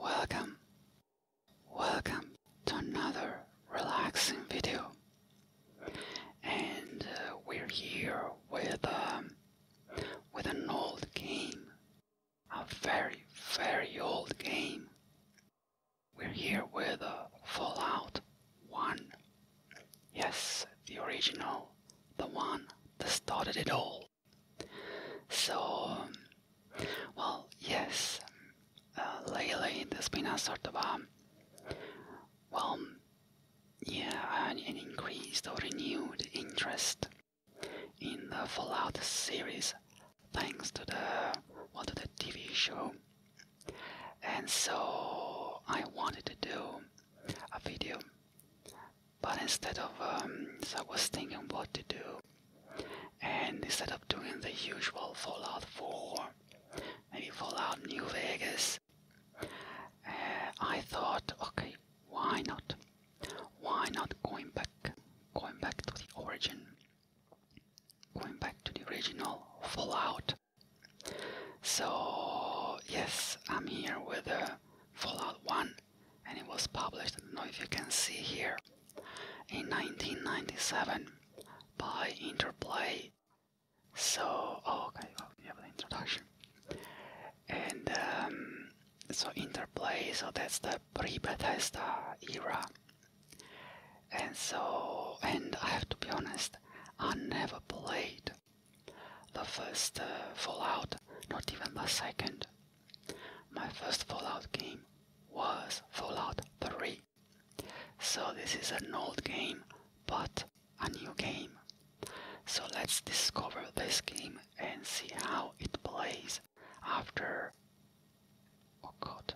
Welcome. Welcome to another relaxing video. And uh, we're here with um, with an old game. A very, very old game. We're here with uh, Fallout 1. Yes, the original, the one that started it all. So, well, yes, uh, lately there's been a sort of a, um, well, yeah, an, an increased or renewed interest in the Fallout series thanks to the, well, to the TV show. And so I wanted to do a video but instead of, um, I was thinking what to do, and instead of doing the usual Fallout 4, maybe Fallout New Vegas, uh, I thought, okay, why not? Why not going back, going back to the origin, going back to the original Fallout? So yes, I'm here with uh, Fallout 1 and it was published, I don't know if you can see here, in 1997 by Interplay. So, oh, okay, oh, you have the introduction. And um, so Interplay, so that's the pre-Bethesda era. And so, and I have to be honest, I never played the first uh, Fallout, not even the second. My first Fallout game was Fallout 3. So this is an old game, but a new game. So let's discover this game and see how it plays after, oh god,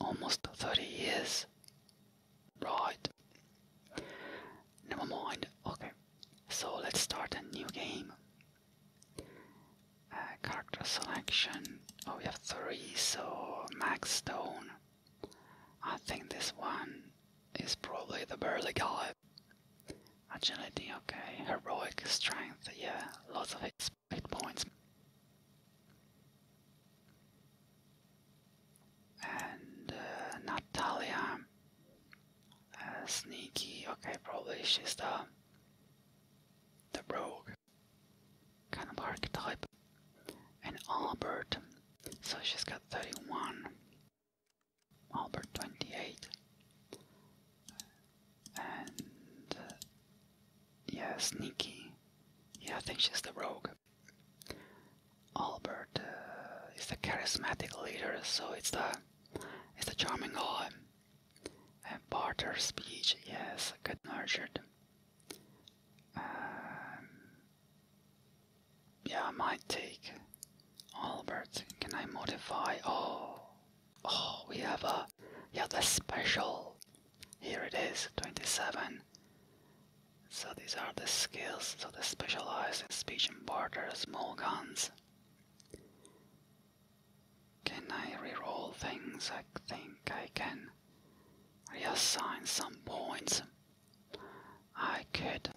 almost 30 years. Right. Never mind. Okay. So let's start a new game. Uh, character selection. Oh, we have three, so Max Stone. I think this one is probably the burly guy. Agility, okay. Heroic strength, yeah. Lots of hit points. And uh, Natalia. Uh, sneaky, okay, probably she's the uh, the rogue kind of archetype. And Albert, so she's got 31, Albert 28, and uh, yeah, sneaky. Yeah, I think she's the rogue. Albert is the charismatic leader, so it's the it's the charming guy. Uh, barter speech, yes, get nurtured. Um, yeah, I might take Albert. Can I modify? Oh, oh, we have a yeah, the special. Here it is, 27. So these are the skills. So they specialize in speech and barter, small guns. Can I reroll things? I think I can reassign some points. I could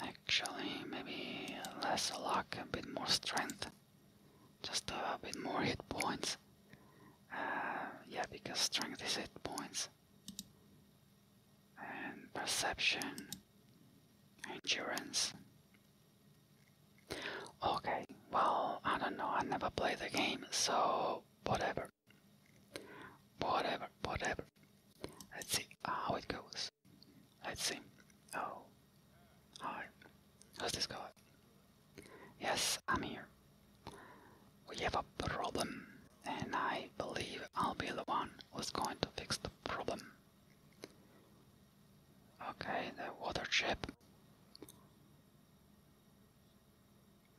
actually maybe less luck, a bit more strength, just a bit more hit points. Uh, yeah, because strength is hit points. And perception, endurance, Okay, well, I don't know, I never played the game, so whatever. Whatever, whatever. Let's see how it goes. Let's see. Oh. Hi. How's this going? Yes, I'm here. We have a problem, and I believe I'll be the one who's going to fix the problem. Okay, the water chip.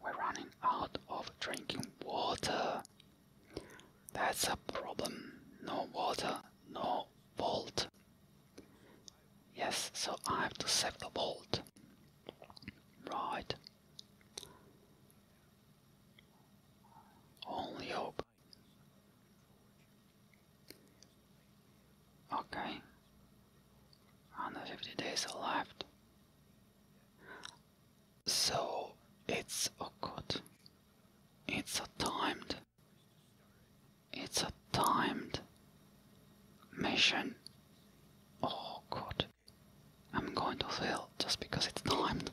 We're running out of drinking water. That's a problem. No water, no vault. Yes, so I have to save the vault. Right. Only hope Okay. 150 days left. So it's a oh good. It's a timed. It's a timed mission. Oh god. I'm going to fail just because it's timed.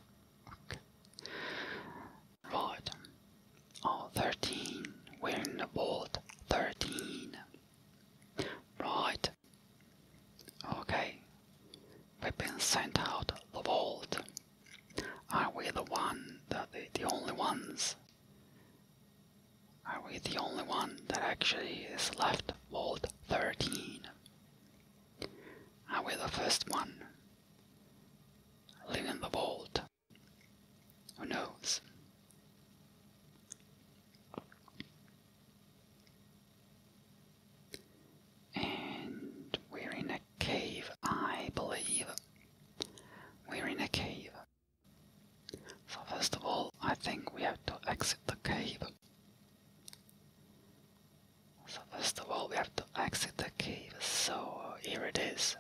Right. Oh, 13. We're in the vault. 13. Right. Okay. We've been sent out the vault. Are we the one, the, the, the only ones? Are we the only one that actually is left vault 13? Are we the first one? Living the vault. Who knows? And we're in a cave, I believe. We're in a cave. So, first of all, I think we have to exit the cave. So, first of all, we have to exit the cave. So, here it is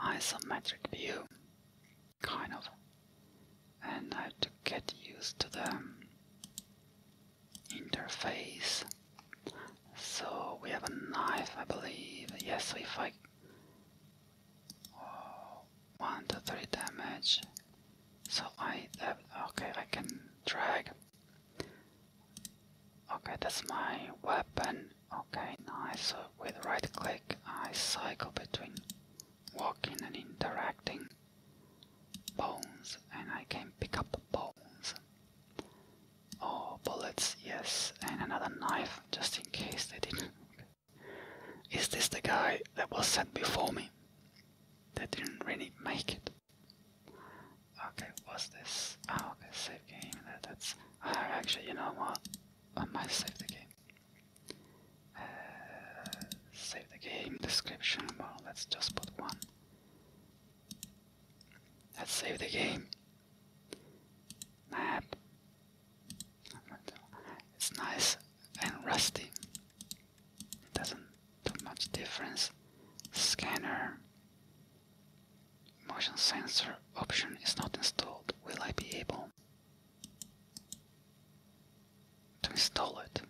isometric view, kind of. And I have to get used to the um, interface. So we have a knife, I believe. Yes, so if I oh, one to three damage. So I that uh, okay, I can drag. Okay, that's my weapon. Okay, nice. So with right click, I cycle between walking and interacting bones, and I can pick up bones. Oh, bullets, yes, and another knife just in case they didn't. Is this the guy that was sent before me? That didn't really make it. Okay, what's this? Oh, okay, save game. that's. actually, you know what? I might save the game. Uh, save the game description. Well, let's just put one. Let's save the game. Map. It's nice and rusty. It doesn't do much difference. Scanner. Motion sensor option is not installed. Will I be able to install it?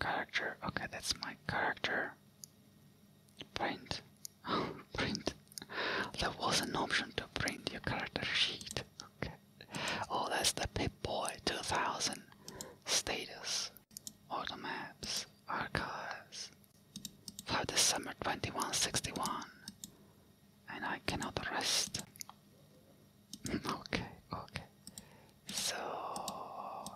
Character, okay, that's my character. Print. Oh, print. There was an option to print your character sheet. Okay. Oh, that's the Pip-Boy 2000 status. Auto maps, archives for the summer 2161, and I cannot rest. okay, okay. So, oh,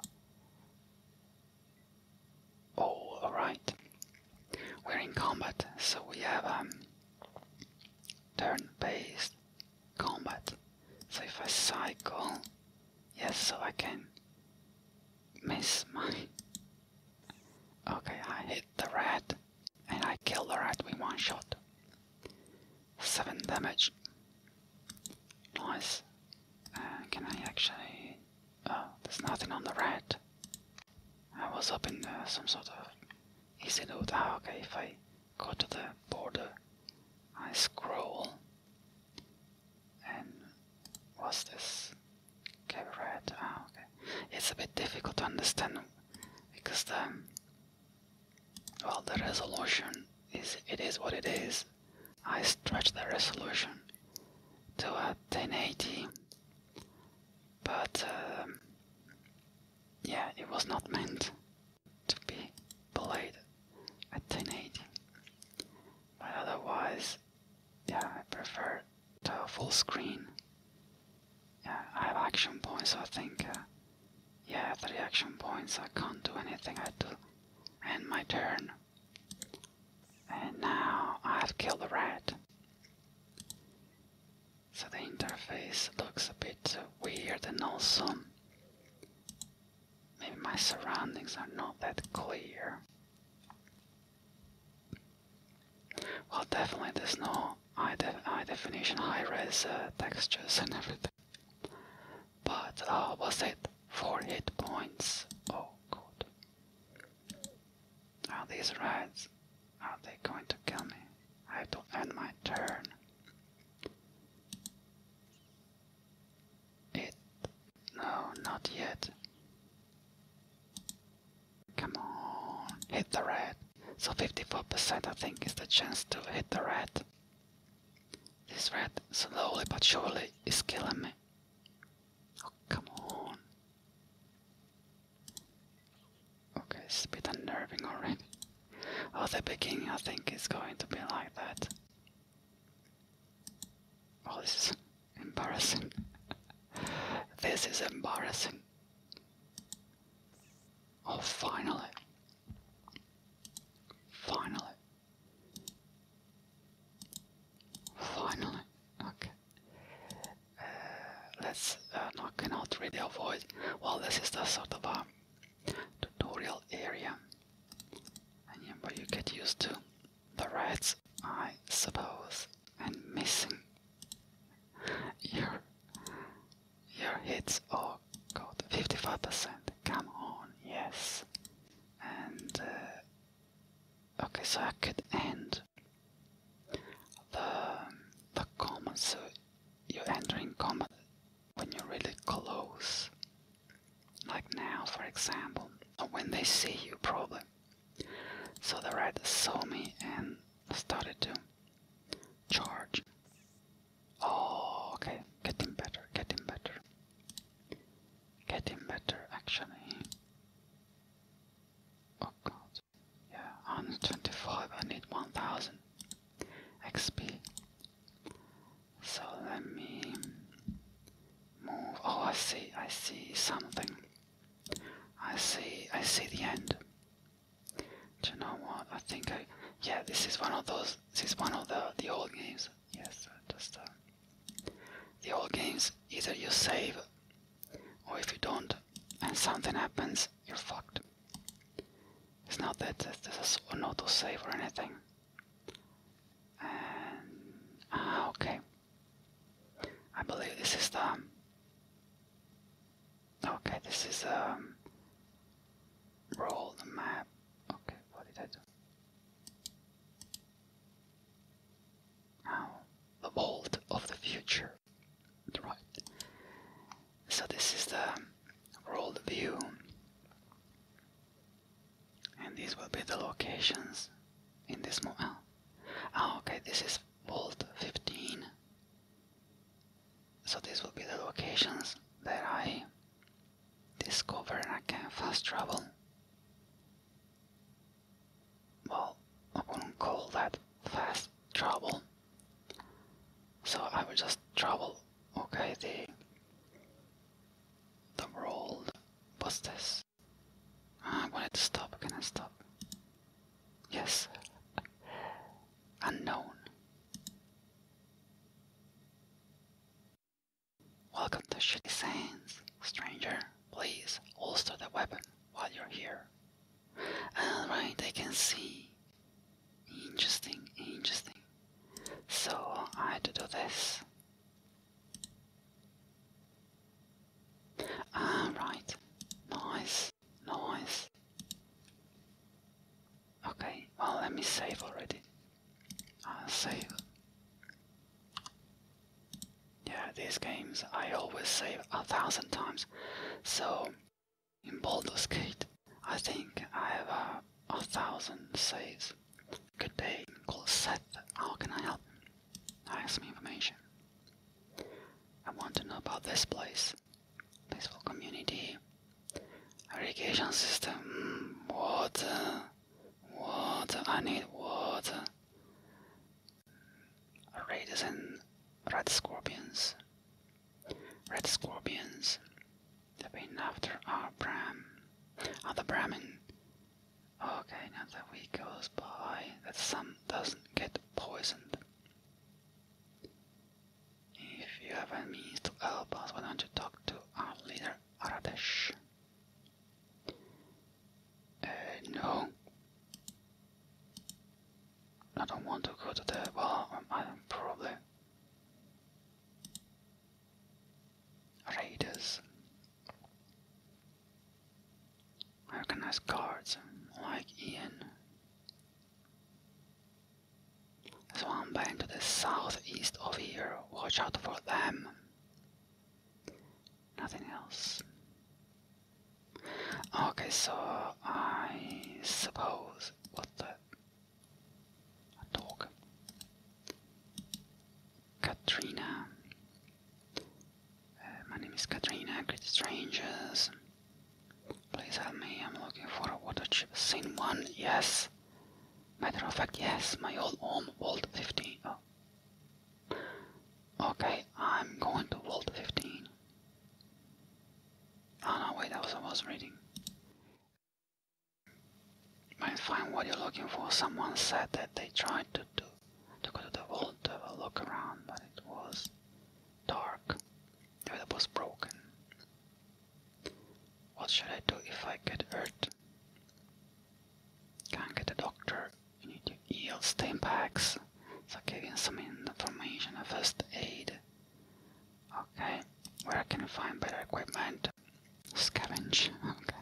all right. We're in combat, so we have um, turn-based combat. So if I cycle, yes, so I can miss my Okay, I hit the rat and I killed the rat with one shot. 7 damage. Nice. Uh, can I actually... Oh, there's nothing on the rat. I was up in uh, some sort of easy loot. Ah, okay, if I go to the border, I scroll. And what's this? Cabaret. Ah, okay. It's a bit difficult to understand because the well, the resolution is it is what it is. I stretch the resolution to a 1080, but um, yeah, it was not meant to be played at 1080. But otherwise, yeah, I prefer the full screen. Yeah, I have action points, so I think, uh, yeah, three action points, I can't do anything, I do end my turn. And now I have killed the rat. So the interface looks a bit uh, weird and also maybe my surroundings are not that clear. Well, definitely there's no high, high definition, high res uh, textures and everything. But uh, was it four hit points? Oh, good. Are these rats? Are they going to kill me? I have to end my turn. It. No, not yet. Come on, hit the red. So 54% I think is the chance to hit the red. This red, slowly but surely, is killing me. Oh, come on. Okay, it's a bit unnerving already. Oh, the beginning I think is going to be like that. Oh, this Embarrassing. this is embarrassing. Oh, finally. Finally. Finally. Okay. Uh, let's uh, no, cannot really avoid. Well, this is the sort of a um, tutorial area, and but you get used to the Reds, I suppose, and missing. Your, your hits, oh god, 55%, come on, yes. And, uh, okay, so I could end the, the combat, so you enter in combat when you're really close. Like now, for example, when they see you, probably so the rat saw me and started to charge. Oh, okay, getting better, getting better, getting better actually. Oh god, yeah, 125, I need 1000 XP. So let me move. Oh, I see, I see something. I see. I see the end. Do you know what? I think I. Yeah, this is one of those. This is one of the the old games. Yes, uh, just uh, the old games. Either you save, or if you don't, and something happens, you're fucked. It's not that this there's an auto save or anything. And ah, okay. I believe this is the. Um, okay, this is um. Roll map. Okay, what did I do? Now, oh, the of the future. Right. So this is the um, world view, and these will be the locations in this model. Oh, okay, this is volt 15. So this will be the locations that I discover and I can fast travel. Well, I wouldn't call that fast travel. So I will just travel, okay, the, the world. What's this? Ah, I wanted to stop. Can I stop? Yes. Unknown. Welcome to Shitty Sands. Stranger, please holster the weapon while you're here. Alright, I can see. Interesting, interesting. So I do this. Ah, right. Nice, nice. Okay, well, let me save already. Uh, save. Yeah, these games I always save a thousand times. So, in Baldur's Gate, I think I have uh, a thousand saves. Good day, call Seth. How can I help? Ask me information. I want to know about this place. Peaceful community. Irrigation system. Mm, water. Water. I need water. Raiders and red scorpions. Red scorpions. They've been after our Brahm. Other Brahmin. Okay, now that we go by that some doesn't get poisoned. If you have a means to help us, why don't you talk to our leader, Aradesh? Uh, no. I don't want to go to the... well, um, I probably... Raiders. Recognize guards like Ian. So I'm bank to the southeast of here. Watch out for them. Nothing else. Okay, so I suppose what the a Katrina uh, my name is Katrina, great strangers. Please help me, I'm looking for a watership. Scene one, yes. Matter of fact, yes, my old home, Vault 15. Oh. Okay, I'm going to Vault 15. Oh no, wait, that was I was reading. Might find what you're looking for. Someone said that they tried to do to go to the vault to look around, but it was dark. The weather was broken. What should I do if I get hurt? Can't get a doctor. You need to heal stain packs. So give him some information of first aid. Okay, where can I find better equipment? Scavenge, okay.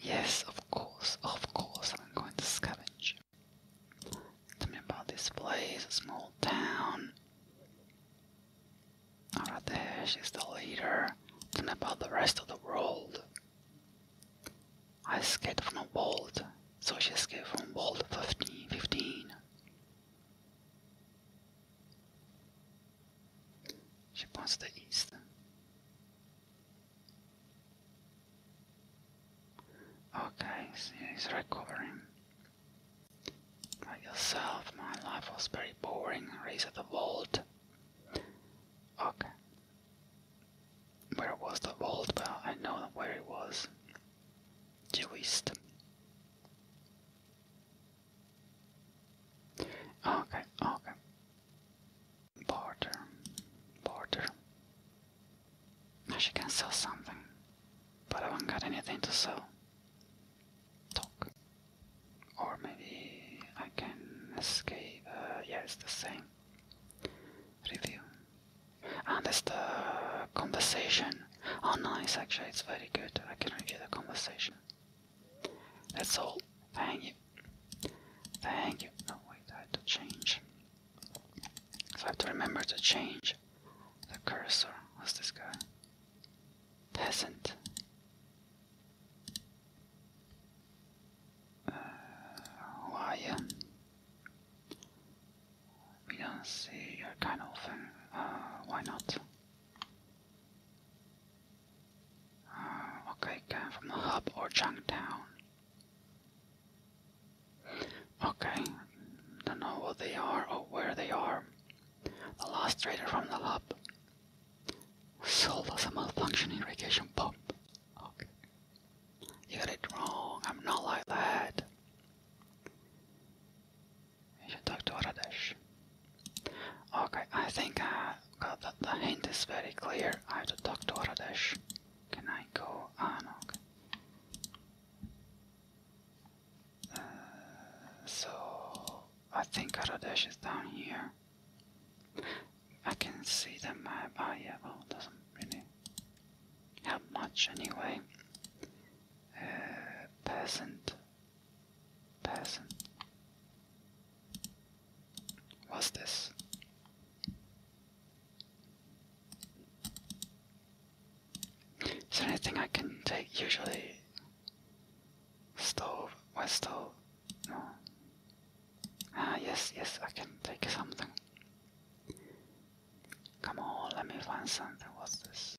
Yes, of course, of course, I'm going to scavenge. Tell me about this place, a small town. Alright, there, she's the leader. Tell me about the rest of the world. I escaped from a vault, so she escaped from vault 15. 15. She points the east. Okay, so he's recovering. Got yourself, my life was very boring. Race at the vault. Okay. Where was the vault? Well, I know where it was. Due east. Okay, okay. Border. Border. Now she can sell something. But I haven't got anything to sell. Talk. Or maybe I can escape. Uh, yeah, it's the same. Review. And it's the conversation. Oh, nice, actually, it's very good. I can review the conversation. That's all. Thank you. Thank you. Oh wait, I had to change. So I have to remember to change the cursor. What's this guy? Peasant. Uh, We don't see your kind of uh, why not? Okay, from the hub or Changtown. Okay, don't know what they are or where they are. The last trader from the hub sold us a malfunctioning irrigation pump. Okay. You got it wrong, I'm not like that. You should talk to Aradesh. Okay, I think uh, the hint is very clear. I have to talk to Radesh. Can I go? Ah, uh, so I think Radesh is down here. I can see the map. Ah, yeah. Well, doesn't really help much anyway. Uh, peasant. Peasant. What's this? Is there anything I can take? Usually, stove, what stove? No. Ah, yes, yes, I can take something. Come on, let me find something. What's this?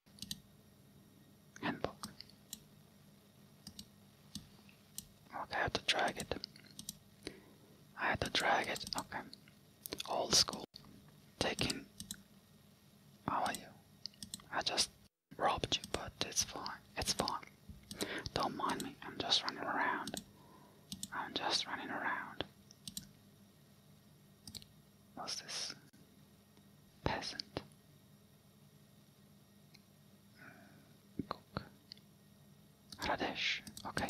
Handbook. Okay, I have to drag it. I had to drag it. Okay. Old school. Taking. How are you? I just robbed you, but it's fine. It's fine. Don't mind me. I'm just running around. I'm just running around. What's this? Peasant. Radish, Okay.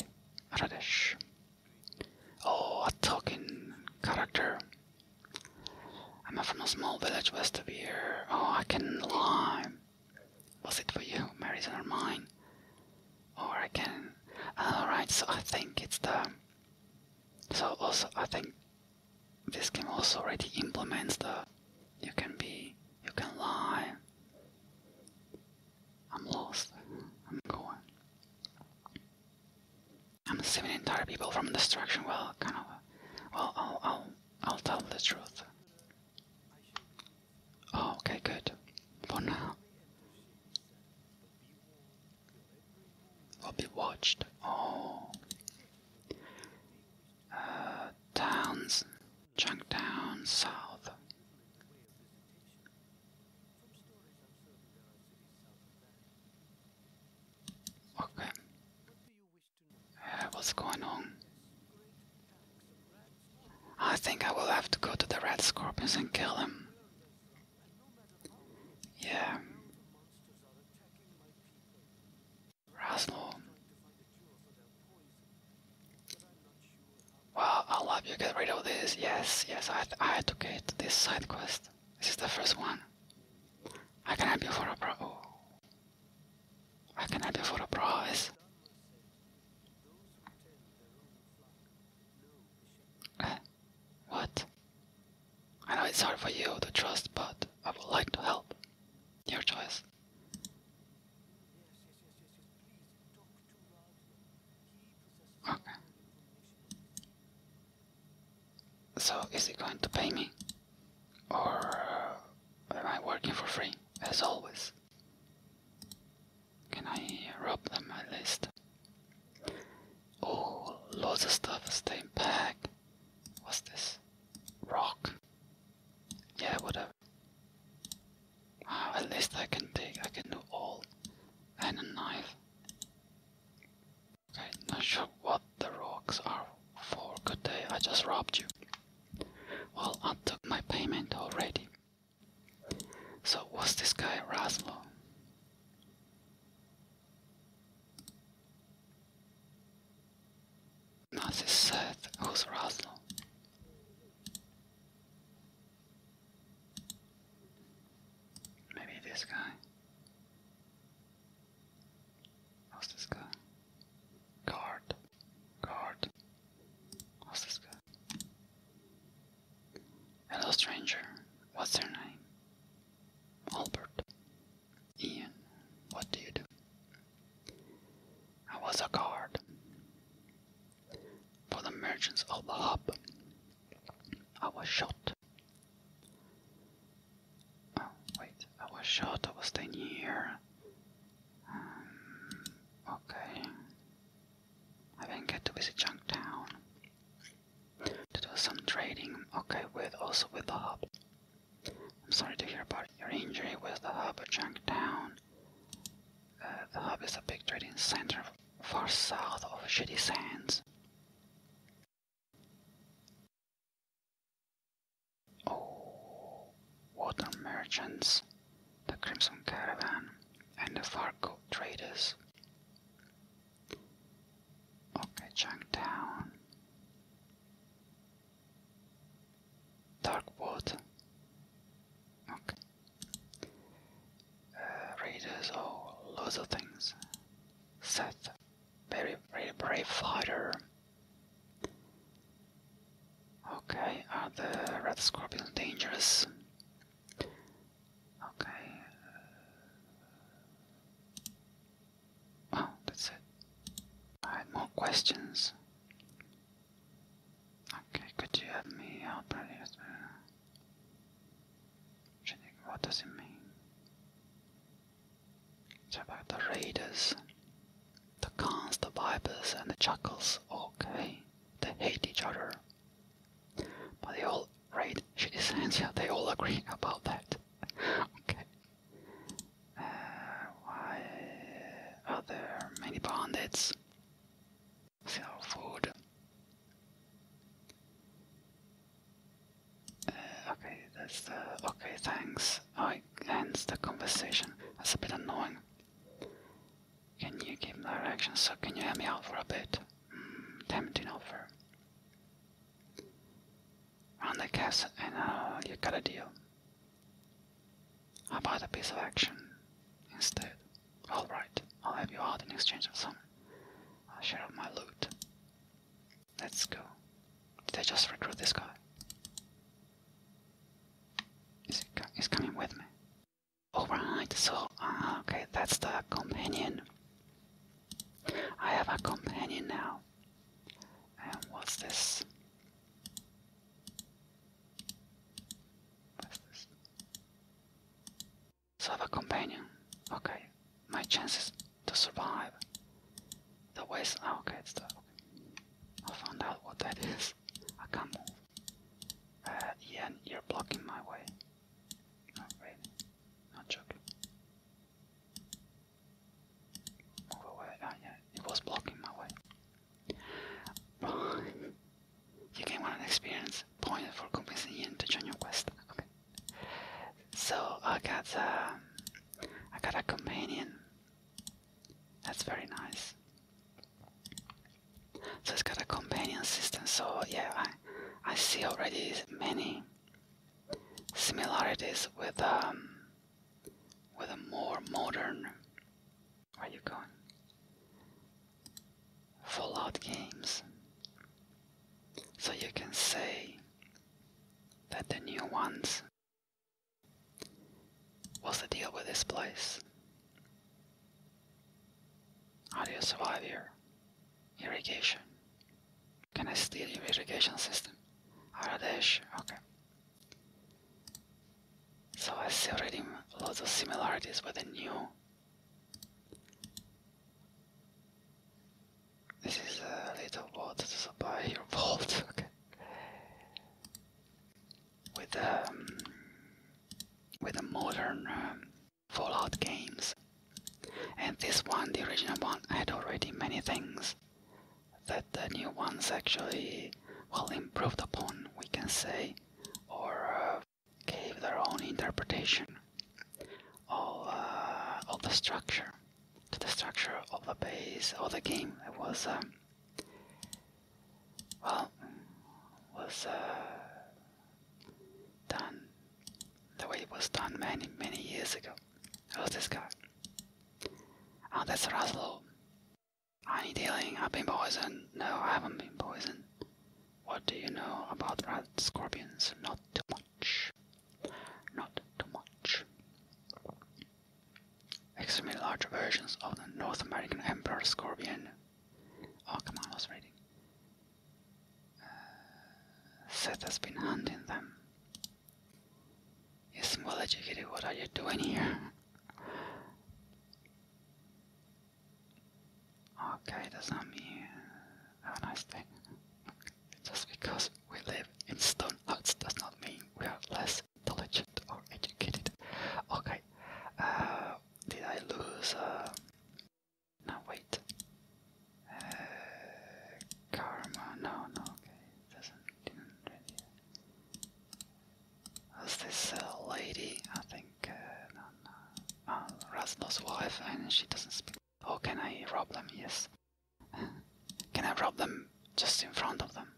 radish. Oh, a talking character. I'm from a small village west of here. Oh, I can lie. Was it for you, Marison or mine? Or I can. Alright, so I think it's the. So also, I think this game also already implements the you can be, you can lie. I'm lost. I'm going. I'm saving entire people from destruction. Well, kind of. Well, I'll, I'll, I'll tell the truth. Oh, okay, good. For now. Will be watched. Oh. Uh, towns. Chunktown South. Okay. Uh, what's going on? I think I will have to go to the red scorpions and kill them. Yeah. Raslo. Well, I'll help you get rid of this. Yes, yes, I, I had to get this side quest. This is the first one. I can help you for a pro. Oh. I can help you for a prize. Eh, what? I know it's hard for you to trust, but I would like to help. Your choice. Okay. So is he going to pay me? Or uh, am I working for free, as always? Can I rob them at least? Oh, lots of stuff staying back. What's this? Rock. Yeah, whatever. at least I can take, I can do all, and a knife. Okay, not sure what the rocks are for. Good day, I just robbed you. Well, I took my payment already. So was this guy Raslo? Nothing said. Who's this guy. Who's this guy? Guard. Guard. Who's this guy? Hello, stranger. What's your name? Albert. Ian. What do you do? I was a guard for the merchants of the hub. I was shot. Oh, wait, I was shot, I was staying here. Um, okay. I didn't get to visit Junktown. To do some trading, okay, with also with the hub. I'm sorry to hear about your injury with the hub at Junktown the hub is a big trading center far south of Shitty Sands. Oh, water merchants, the Crimson Caravan, and the Fargo traders. Okay, Town dark water. Okay. Uh, raiders or oh, lots of things. Seth, very very brave fighter. Okay, are the red scorpions dangerous? Okay. Uh, oh, that's it. I had more questions. Okay, could you help me out, please? What does it mean? It's about the raiders, the cons, the Vipers, and the chuckles. Okay, they hate each other. But they all raid Shitty Sands, yeah, they all agree about that. okay. Uh, why are there many bandits? sell food. Uh, okay, that's okay. Thanks. I oh, it ends the conversation. That's a bit annoying. Can you give me directions? So can you help me out for a bit? Mm, tempting offer. Run the castle and uh, you got a deal. How buy the piece of action instead? Alright, I'll have you out in exchange for some. I'll uh, share my loot. Let's go. Did I just recruit this guy? Is he co he's coming with me? Alright, so, uh, okay, that's the companion. I have a companion now. And what's this? What's this? Sava companion. Okay. My chances to survive. The waste. Ah, okay, it's the. Okay. I found out what that is. I can't move. Uh, yeah, you're blocking my way. Not really. Not joking. Move away. Ah, yeah, it was blocking my way. you can want an experience point for convincing Ian to quest. So I got a, um, I got a companion. That's very nice. So it's got a companion system. So yeah, I I see already many similarities with um with a more modern are you going? Fallout games. So you can say that the new ones. What's the deal with this place? How do you survive here? Irrigation. Can I steal your irrigation system? Aradesh, okay. So I see already lots of similarities with the new. This is a little water to supply your vault. Okay. With um, with the modern um, Fallout games, and this one, the original one, had already many things that the new ones actually well improved upon, we can say, or uh, gave their own interpretation of, uh, of the structure, to the structure of the base of the game. It was, uh, well, was done the way it was done many, many years ago. It was this guy. Oh, that's Raslow i you dealing? I've been poisoned. No, I haven't been poisoned. What do you know about red scorpions? Not too much. Not too much. Extremely large versions of the North American emperor scorpion. Oh, come on, I was reading. Uh, Seth has been hunting them. He's well educated. What are you doing here? Okay, does that mean a nice day? Just because we live in stone huts does not mean we are less intelligent or educated. Okay, uh, did I lose? Uh, wait. Uh, karma? No, no. Okay, doesn't. There's this lady, I think, uh, ah, Rasmus' wife, and she doesn't speak. Oh, can I rob them? Yes. can I rob them just in front of them?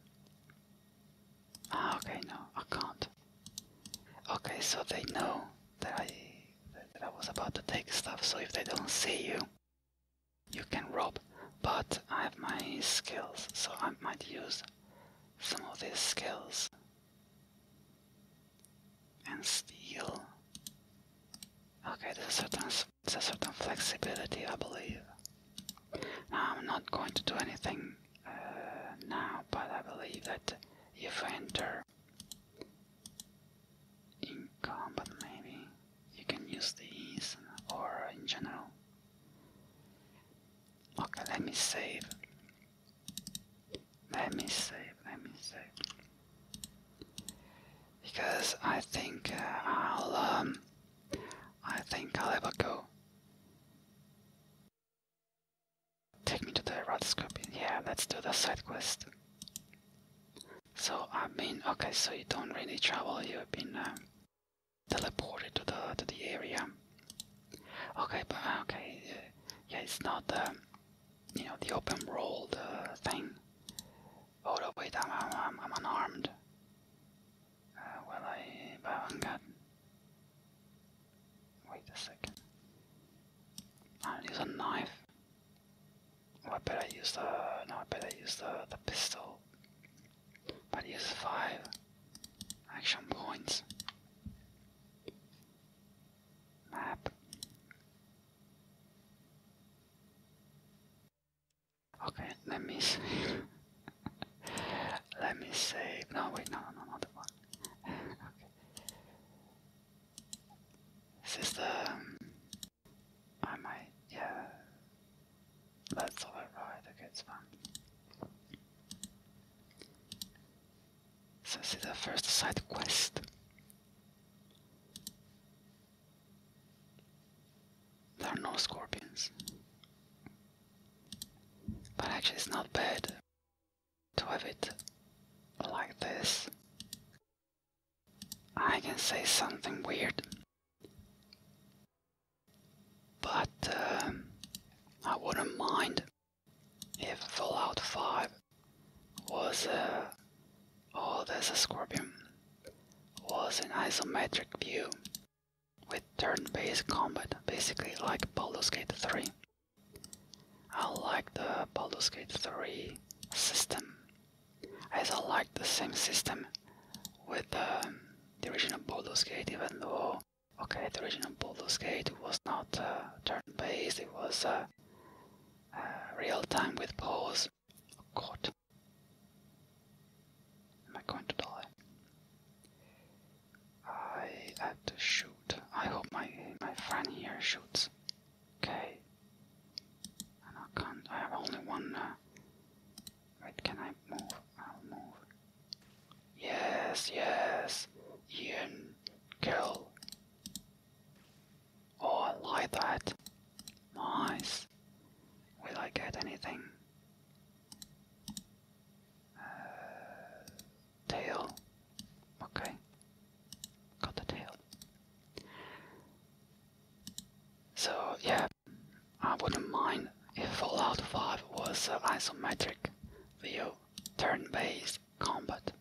Ah, okay, no, I can't. Okay, so they know that I that I was about to take stuff, so if they don't see you, you can rob. But I have my skills, so I might use some of these skills and steel. Okay, there's a certain, flexibility, I believe. I'm not going to do anything uh, now, but I believe that if you enter in combat, maybe you can use these or in general. Okay, let me save. Let me save, let me save. Because I think uh, I'll, um, I think I'll ever go. Take me to the Red Scorpion. Yeah, let's do the side quest. So, I mean, okay, so you don't really travel, you've been, uh, teleported to the to the area. Okay, but uh, okay, uh, yeah, it's not the uh, you know the open world thing. Oh no, wait, I'm I'm, I'm unarmed. well, I but I haven't Wait a second. I'll use a knife. I better use the no, I better use the the pistol but he has five action points. Map. Okay, let me save. let me save. No, wait, no, no, no, not that one. okay. This is the. Um, I might, yeah. That's alright, right, okay, it's fun. So this is the first side quest. There are no scorpions. But actually it's not bad to have it like this. I can say something weird. But um, I wouldn't mind if Fallout 5 was uh, oh there's a scorpion was an isometric view with turn-based combat, basically like Baldur's Gate 3. I like the Baldur's Gate 3 system, I I like the same system with um, the original Baldur's Gate, even though Okay, the original Baldur's skate was not uh, turn-based, it was uh, uh, real-time with pause. Oh Am I going to die? I had to shoot. I hope my, my friend here shoots. Okay. And I can't, I have only one Right, can I move? I'll move. Yes, yes. Ian, kill. Oh, I like that. Nice. Will I get anything? Uh, tail. Okay. Got the tail. So, yeah, I wouldn't mind if Fallout 5 was an isometric view turn-based combat.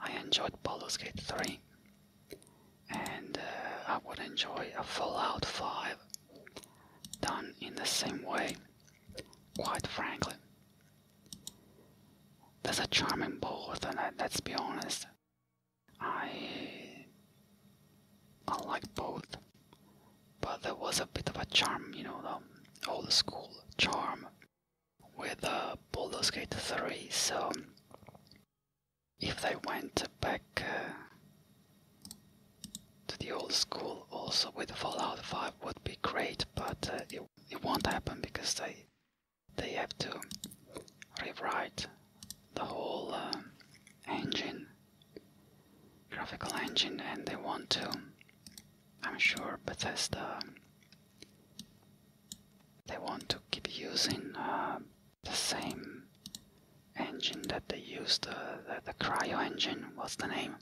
I enjoyed Baldur's Gate 3 and uh, I would enjoy a Fallout 5 done in the same way, quite frankly. There's a charming in both and uh, let's be honest, I I like both, but there was a bit of a charm, you know, the old school charm with uh, Baldur's Gate 3. So if they went back uh, to the old school, also with Fallout 5, would be great, but uh, it, it won't happen because they they have to rewrite the whole uh, engine graphical engine and they want to. I'm sure Bethesda they want to keep using uh, the same engine that they used, uh, the, the cryo engine, what's the name,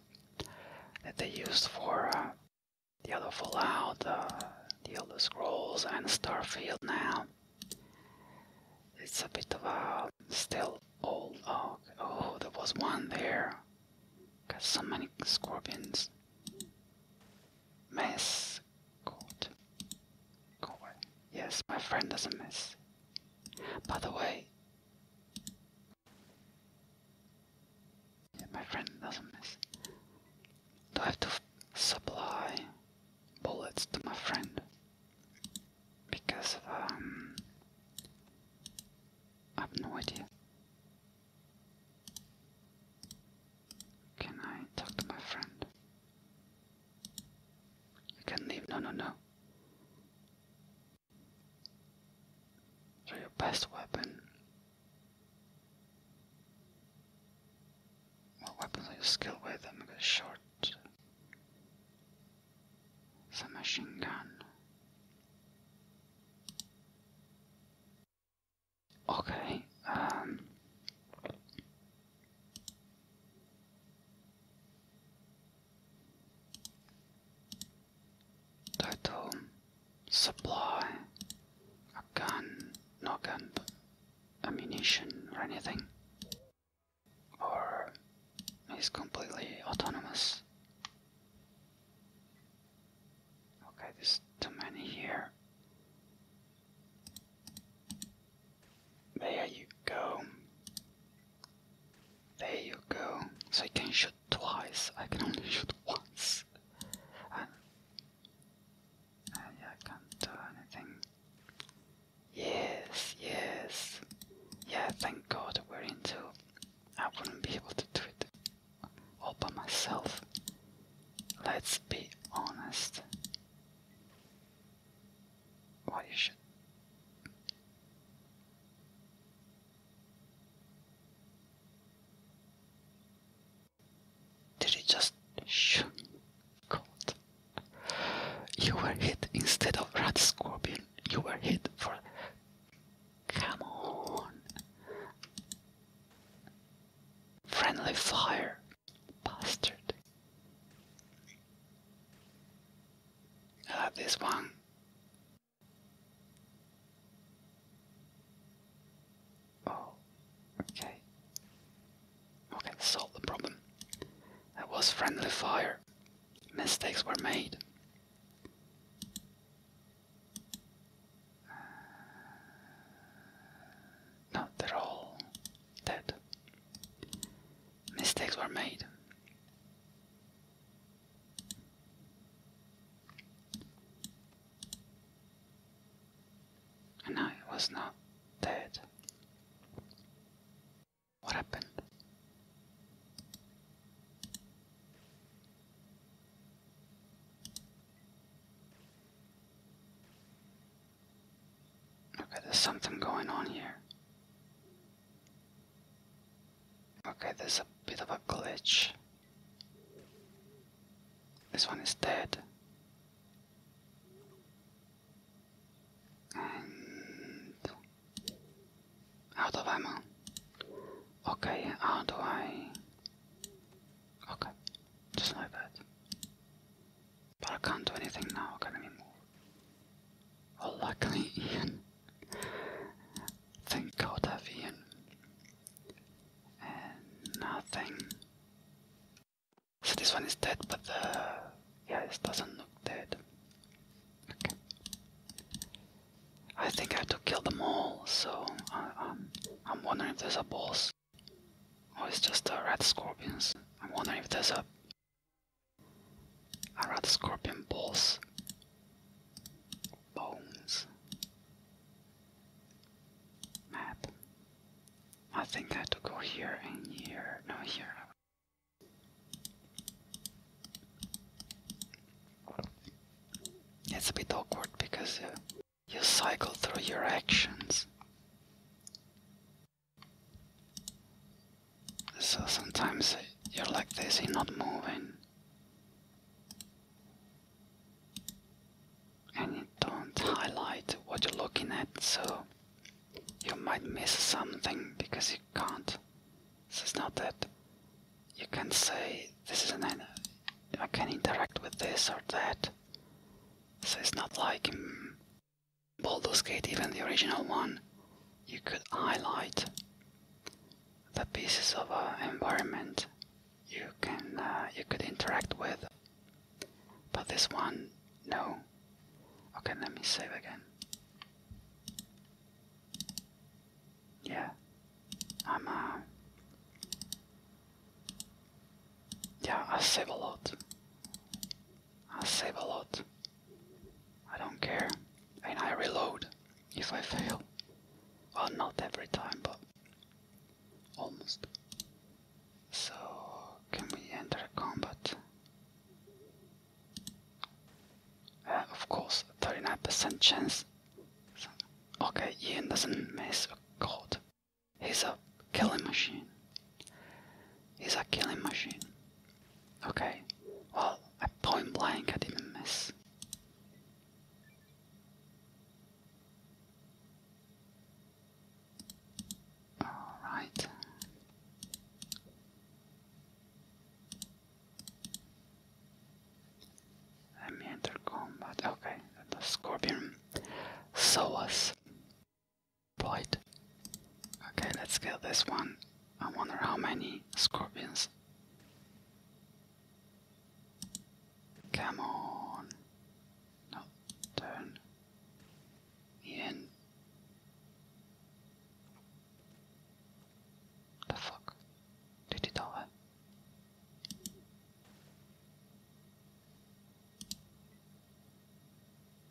that they used for uh, the other Fallout, the Elder Scrolls, and Starfield now. It's a bit of a Still old oak. Oh, oh, there was one there. Got so many scorpions. Miss. Good. Yes, my friend doesn't miss. By the way, my friend doesn't miss. Do I have to supply bullets to my friend? because of, um, I have no idea. Can I talk to my friend? I can leave. No, no, no. So your best weapon. What weapons are you skilled with? I'm gonna short submachine gun. Okay, total supply a gun, not gun, ammunition or anything or he's completely autonomous. Okay, there's too many here. There you go. There you go. So I can shoot twice. I can only shoot once. and uh, yeah, I can't do anything. Yes, yes. Yeah, thank God we're into. I wouldn't be able to do it all by myself. Let's be honest. Why should. Did you just shoot? God. You were hit instead of rat scorpion you were hit for. Come on. Friendly fire, bastard. I this one. Oh, okay. Okay, solve the problem. That was friendly fire mistakes were made. no, they're all dead. Mistakes were made. And I was not dead. What happened? Okay, there's something going on here. Okay, there's a bit of a glitch. This one is dead. And out of ammo. Okay, how do I. Okay, just like that. But I can't do anything now, can I move? Well, oh, luckily, Ian. Thank God I've Ian. And nothing. So this one is dead, but the. Uh, yeah, this doesn't look dead. I think I have to kill them all, so I, am wondering if there's a boss. Oh, it's just the rat scorpions. I'm wondering if there's a, red scorpion boss. Bones. Map. I think I have to go here and here. No, here. It's a bit awkward because uh, you cycle through your actions. So sometimes uh, you're like this, you not moving. And you don't highlight what you're looking at, so you might miss something because you can't this is not that you can say this is an I can interact with this or that. So it's not like in Baldur's Gate, even the original one, you could highlight the pieces of uh, environment you can uh, you could interact with. But this one, no. Okay, let me save again. Yeah. I'm uh, Yeah, I save a lot. I save a lot. I don't care. And I reload if I fail. Well not every time but almost. So can we enter combat? Uh, of course, 39% chance. Okay, Ian doesn't miss a god. He's a killing machine. He's a killing machine. Okay, well, at point blank I didn't miss. Alright. Let me enter combat. Okay, the scorpion. Soas. Blight. Okay, let's kill this one. I wonder how many scorpions. Come on. No, turn. In. The fuck? Did he die?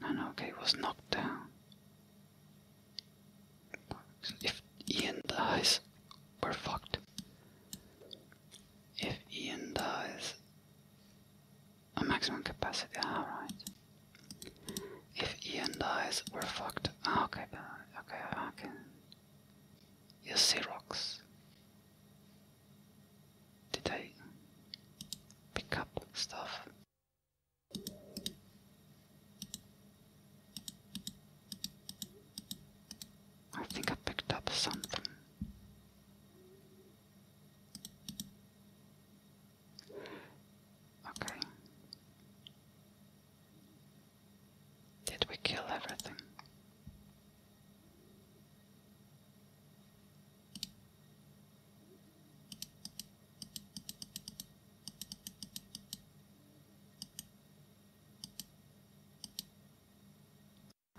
And okay, he was knocked down. If Ian dies, we're fucked. If Ian dies, a maximum capacity, alright. If Ian dies, we're fucked. Ah, okay, uh, okay, okay. You see rocks. Did I pick up stuff? I think I picked up something. Okay. Did we kill everything?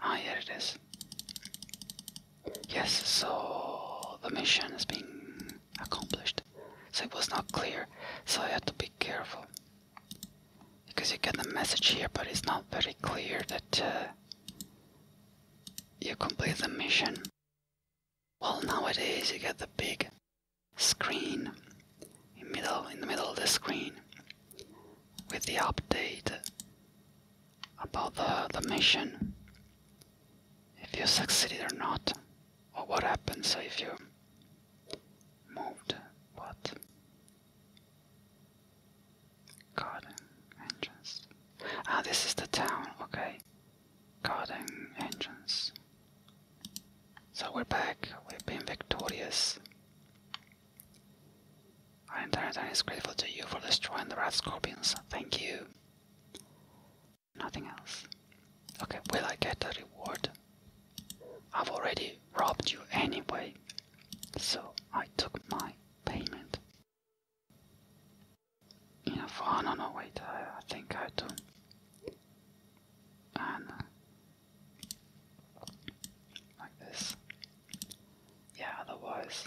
Ah, here it is. Yes, so the mission is being accomplished. So it was not clear, so I had to be careful. Because you get the message here, but it's not very clear that uh, you complete the mission. Well, nowadays you get the big screen in middle in the middle of the screen with the update about the, the mission if you succeeded or not, or what So if you moved what? Garden entrance. Ah, this is the town, okay. Garden entrance. So we're back, we've been victorious. Our entire town is grateful to you for destroying the red scorpions. Thank you. Nothing else. Okay, will I get a reward? I've already robbed you anyway, so I took my payment. Enough. Oh, no, no, wait, I think I do. And uh, like this. Yeah, otherwise.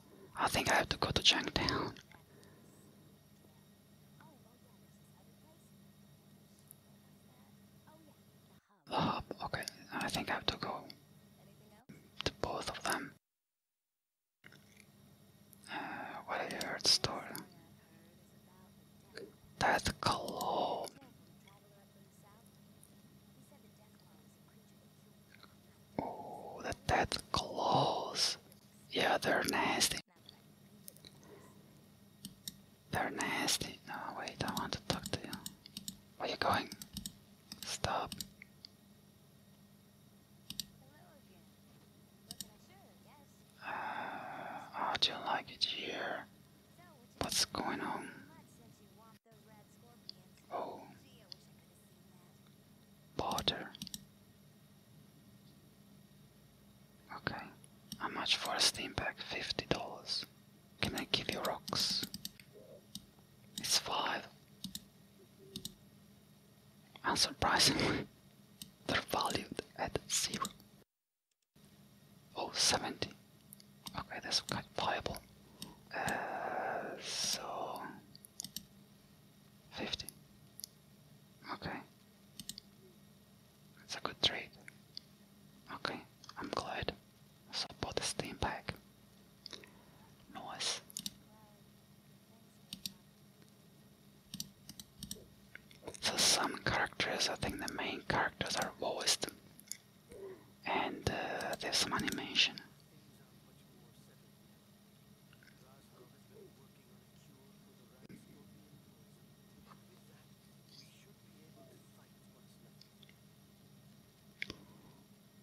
I think I have to go to Changtown. The hub, okay, I think I have to go to both of them. Uh, what have you heard store? Death Oh, the dead claws. Yeah, they're nasty. They're nasty. No, wait, I want to talk to you. Where you going? Stop. Uh, how do you like it here? What's going on? Oh, border. Okay. How much for a steam pack? Fifty dollars. Can I give you rocks? It's five. Unsurprisingly, they're valued at zero. Oh, Okay, that's quite viable. Uh, so Fifty. Okay. that's a good trade. Okay, I'm glad. So bought the steam pack. Nice. So some characters, I think the main characters are voiced. And uh, there's some animation.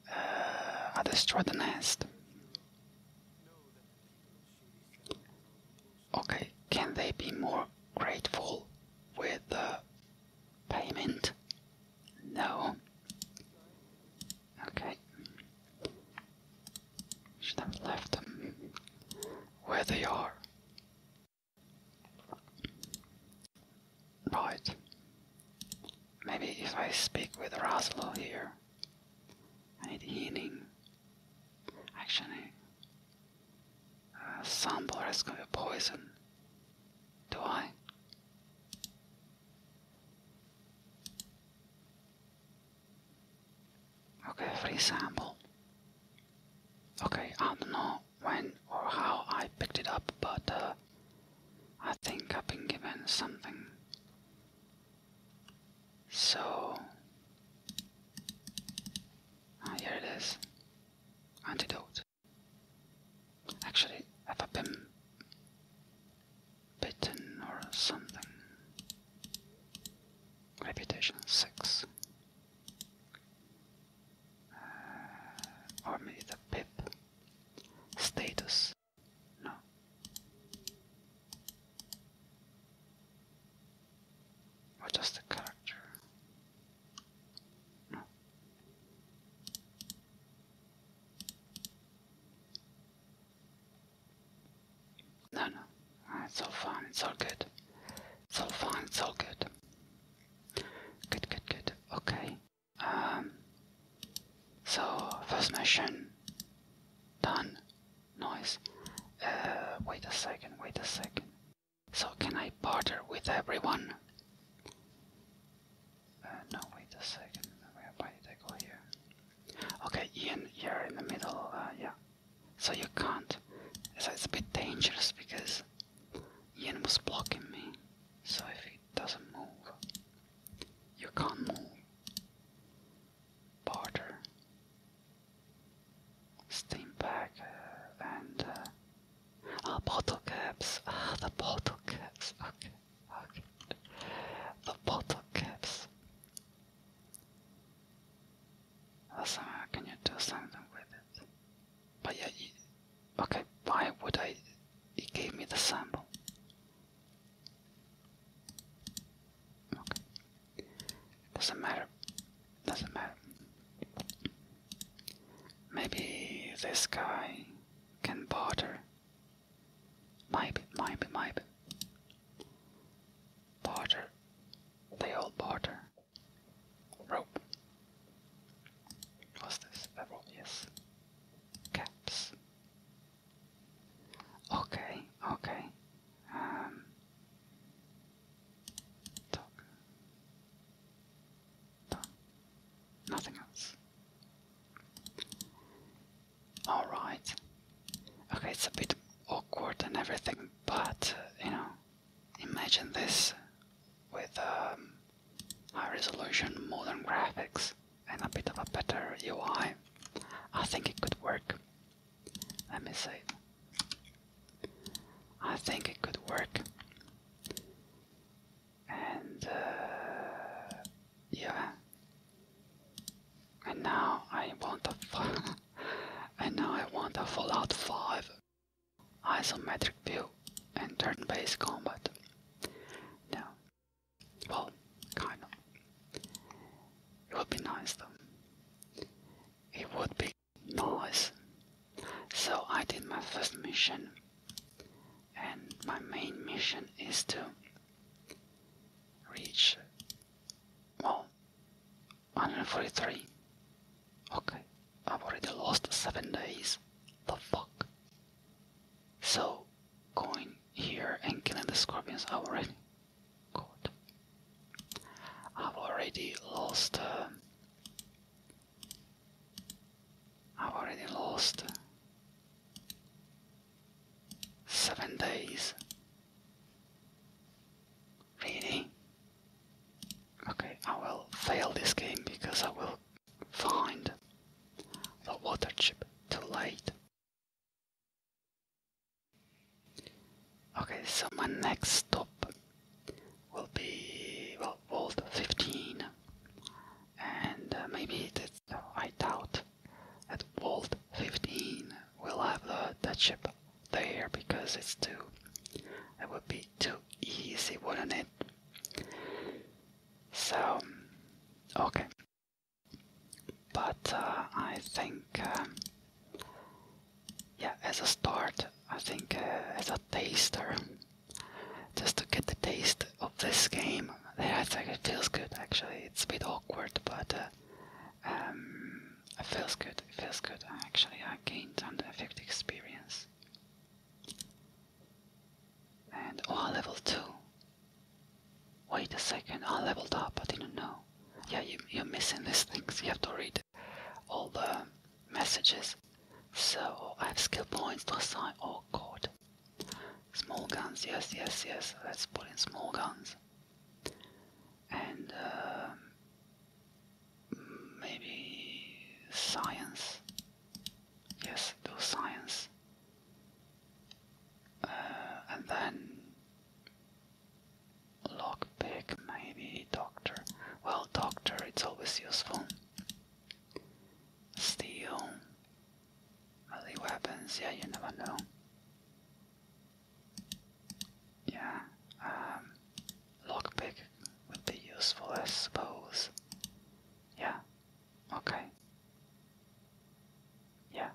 I destroyed the nest. Okay, can they be more grateful with the payment? No. Okay. Should have left them where they are. Right. Maybe if I speak with Raslo here. I need healing. Actually, uh, Sambor has got a poison. Do I? Okay, free sample. Okay, I don't know when or how I picked it up, but uh, I think I've been given something. So, ah, here it is antidote. Actually, i have been bitten or something. Reputation 6. or uh, maybe the pip. Status. No. Or just the character. No. No, no, ah, it's all fine, it's all good. It's all fine, it's all good. Good, good, good. Okay. Um, so, first mission done. Noise. Uh, wait a second, wait a second. So, can I barter with everyone? Uh, no, wait a second. Where did I go here? Okay, Ian, you're in the middle. Uh, yeah. So you can't. So it's a bit dangerous because Ian was blocking me. So if he doesn't move, you can't move. Barter. Steam pack uh, and. Uh, ah, bottle caps. Ah, the bottle caps. Okay. Okay. The bottle caps. Somehow, can you do something with it? But yeah, okay. Why would I? It gave me the sample. Okay. Doesn't matter. Doesn't matter. Maybe this guy can barter Maybe, maybe, maybe. Barter. They all barter. Rope. What's this? A yes. Caps. Okay, okay. Um. Talk. Done. Nothing else. Alright. Okay, it's a bit awkward and everything, but uh, you know, imagine this with um, high resolution modern graphics and a bit of a better UI. I think it could work. Let me see. I think it could work and uh, yeah. And now I want a and now I want a Fallout 5 isometric view and turn-based combat. Now, well, kind of. It would be nice though. It would be nice. So I did my first mission and my main mission is to reach well 143 okay I've already lost seven days the fuck so going here and killing the scorpions I already God I've already lost uh, I've already lost Seven days. Really? Okay, I will fail this game because I will find the water chip too late. Okay, so my next stop will be Vault 15 and uh, maybe that's, uh, I doubt that Vault 15 will have the, that ship there because it's too, that would be too easy, wouldn't it? So, okay. But uh, I think, um, yeah, as a start, I think uh, as a taster, just to get the taste of this game, that's like, it feels good actually. It's a bit awkward, but uh, um, it feels good. It feels good. Actually, I gained some effect experience. And oh, level two. Wait a second, Oh, level two. I didn't know. Yeah, you, you're missing these things. You have to read all the messages. So I have skill points to assign. Oh god. Small guns, yes, yes, yes. Let's put in small guns. And um, maybe science. Yes, do science. Uh, and then lockpick, maybe doctor. Well, doctor, it's always useful. Steel. Are weapons? Yeah, you never know. Yeah, um, lockpick would be useful, I suppose. Yeah, okay. Yeah.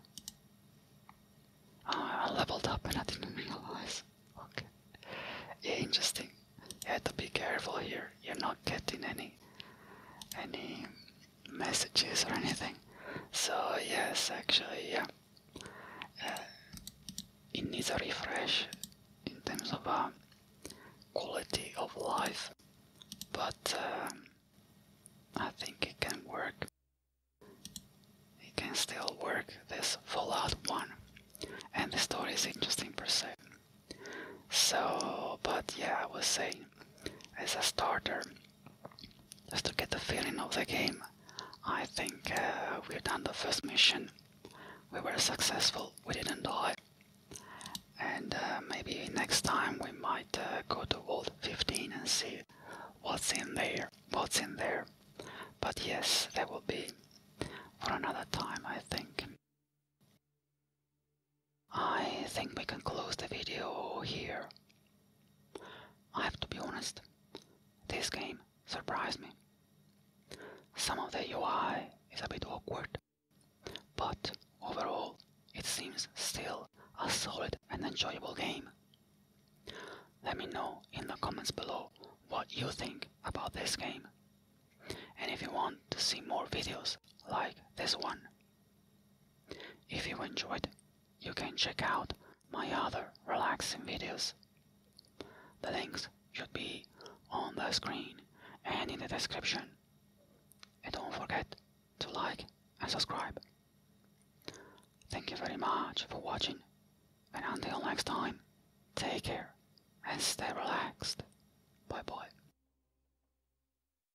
Ah, I leveled up and I didn't realize. Okay. Yeah, interesting. You have to be careful here. You're not getting any, any messages or anything. So yes, actually, yeah, uh, it needs a refresh in terms of um, quality of life, but um, I think it can work. It can still work. This Fallout one, and the story is interesting per se. So, but yeah, I would say as a starter, just to get the feeling of the game, I think uh, we've done the first mission. We were successful, we didn't die. And uh, maybe next time we might uh, go to Vault 15 and see what's in there, what's in there. But yes, that will be for another time, I think. I think we can close the video here. I have to be honest, this game surprised me. Some of the UI is a bit awkward, but overall it seems still a solid and enjoyable game. Let me know in the comments below what you think about this game and if you want to see more videos like this one. If you enjoyed, you can check out my other relaxing videos. The links should be on the screen and in the description. And don't forget to like and subscribe. Thank you very much for watching and until next time, take care and stay relaxed. Bye bye.